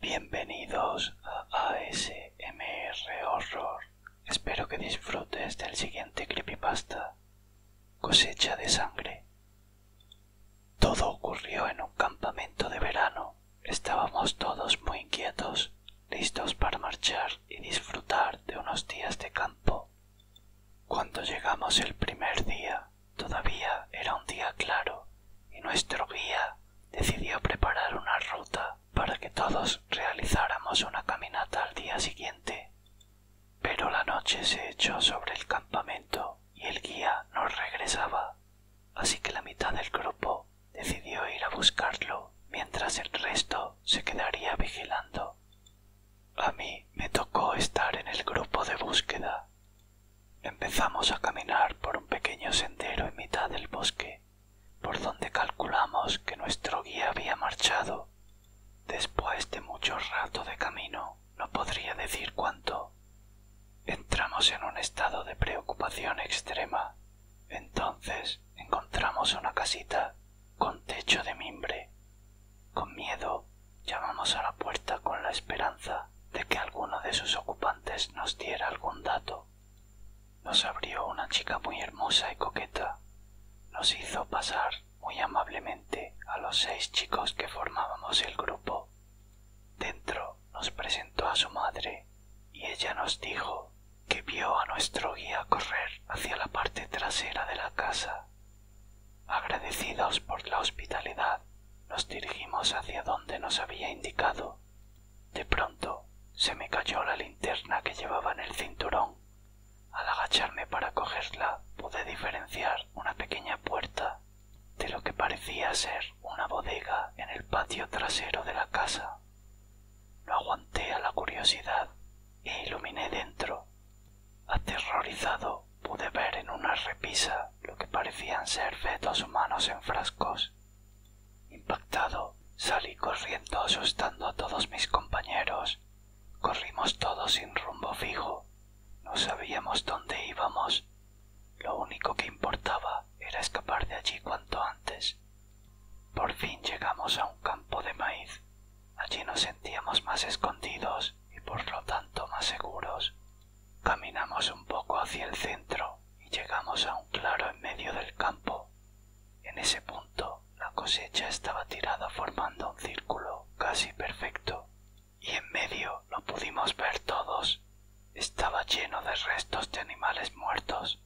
Bienvenidos a ASMR Horror. Espero que disfrutes del siguiente creepypasta. Cosecha de sangre. Todo ocurrió en un campamento de verano. Estábamos todos muy inquietos, listos para marchar y disfrutar de unos días de campo. Cuando llegamos el primer día, todavía era un día claro, y nuestro guía decidió preparar una ruta para que todos realizáramos una caminata al día siguiente. Pero la noche se echó sobre el campamento y el guía no regresaba, así que la mitad del grupo decidió ir a buscarlo, mientras el resto se quedaría vigilando a mí me tocó estar en el grupo de búsqueda. Empezamos a caminar por un pequeño sendero en mitad del bosque, por donde calculamos que nuestro guía había marchado. Después de mucho rato de camino, no podría decir cuánto, entramos en un estado de preocupación extrema. Entonces encontramos una casita con techo de mimbre. Con miedo llamamos a la puerta con la esperanza de que alguno de sus ocupantes nos diera algún dato. Nos abrió una chica muy hermosa y coqueta. Nos hizo pasar muy amablemente a los seis chicos que formábamos el grupo. Dentro nos presentó a su madre y ella nos dijo que vio a nuestro guía correr hacia la parte trasera de la casa. Agradecidos por la hospitalidad, nos dirigimos hacia donde nos había indicado. De pronto se me cayó la linterna que llevaba en el cinturón. Al agacharme para cogerla, pude diferenciar una pequeña puerta de lo que parecía ser una bodega en el patio trasero de la casa no aguanté a la curiosidad e iluminé dentro. Aterrorizado pude ver en una repisa lo que parecían ser fetos humanos en frascos. Impactado, salí corriendo asustando a todos mis compañeros. Corrimos todos sin rumbo fijo. No sabíamos dónde íbamos. Lo único que importaba era escapar de allí cuanto antes. Por fin llegamos a un campo de maíz. Allí nos sentíamos más escondidos y por lo tanto más seguros. Caminamos un poco hacia el centro y llegamos a un claro en medio del campo. En ese punto la cosecha estaba tirada formando un círculo casi perfecto y en medio lo pudimos ver todos. Estaba lleno de restos de animales muertos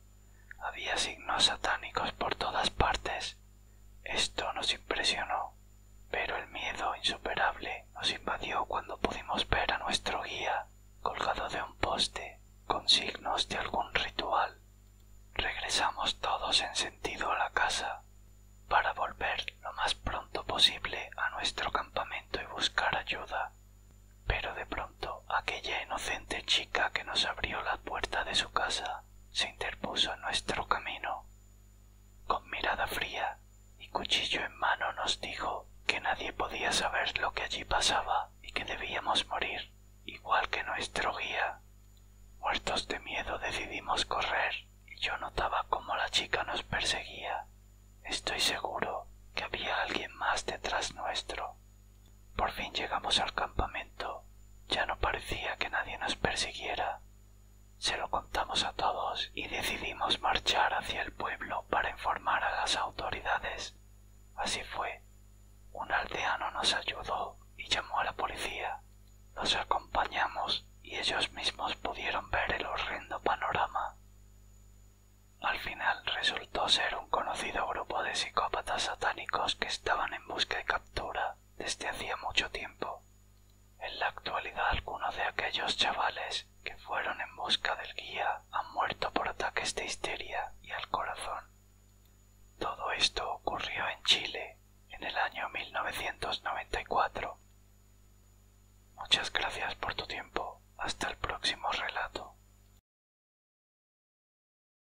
había signos satánicos por todas partes. Esto nos impresionó, pero el miedo insuperable nos invadió cuando pudimos ver a nuestro guía colgado de un poste con signos de algún ritual. Regresamos todos en sentido a la casa para volver lo más pronto posible a nuestro campamento y buscar ayuda. Pero de pronto aquella inocente chica que nos abrió la puerta de su casa se interpuso en nuestro camino. Con mirada fría y cuchillo en mano nos dijo que nadie podía saber lo que allí pasaba y que debíamos morir, igual que nuestro guía. Muertos de miedo decidimos correr y yo notaba cómo la chica nos perseguía. Estoy seguro que había alguien más detrás nuestro. Por fin llegamos al campamento. Ya no parecía que nadie nos persiguiera. Se lo contamos a todos y decidimos marchar hacia el pueblo para informar a las autoridades. Así fue. Un aldeano nos ayudó y llamó a la policía. Los acompañamos y ellos mismos pudieron ver el horrendo panorama. Al final resultó ser un conocido grupo de psicópatas satánicos que estaban en busca de desde hacía mucho tiempo. En la actualidad algunos de aquellos chavales que fueron en busca del guía han muerto por ataques de histeria y al corazón. Todo esto ocurrió en Chile en el año 1994. Muchas gracias por tu tiempo. Hasta el próximo relato.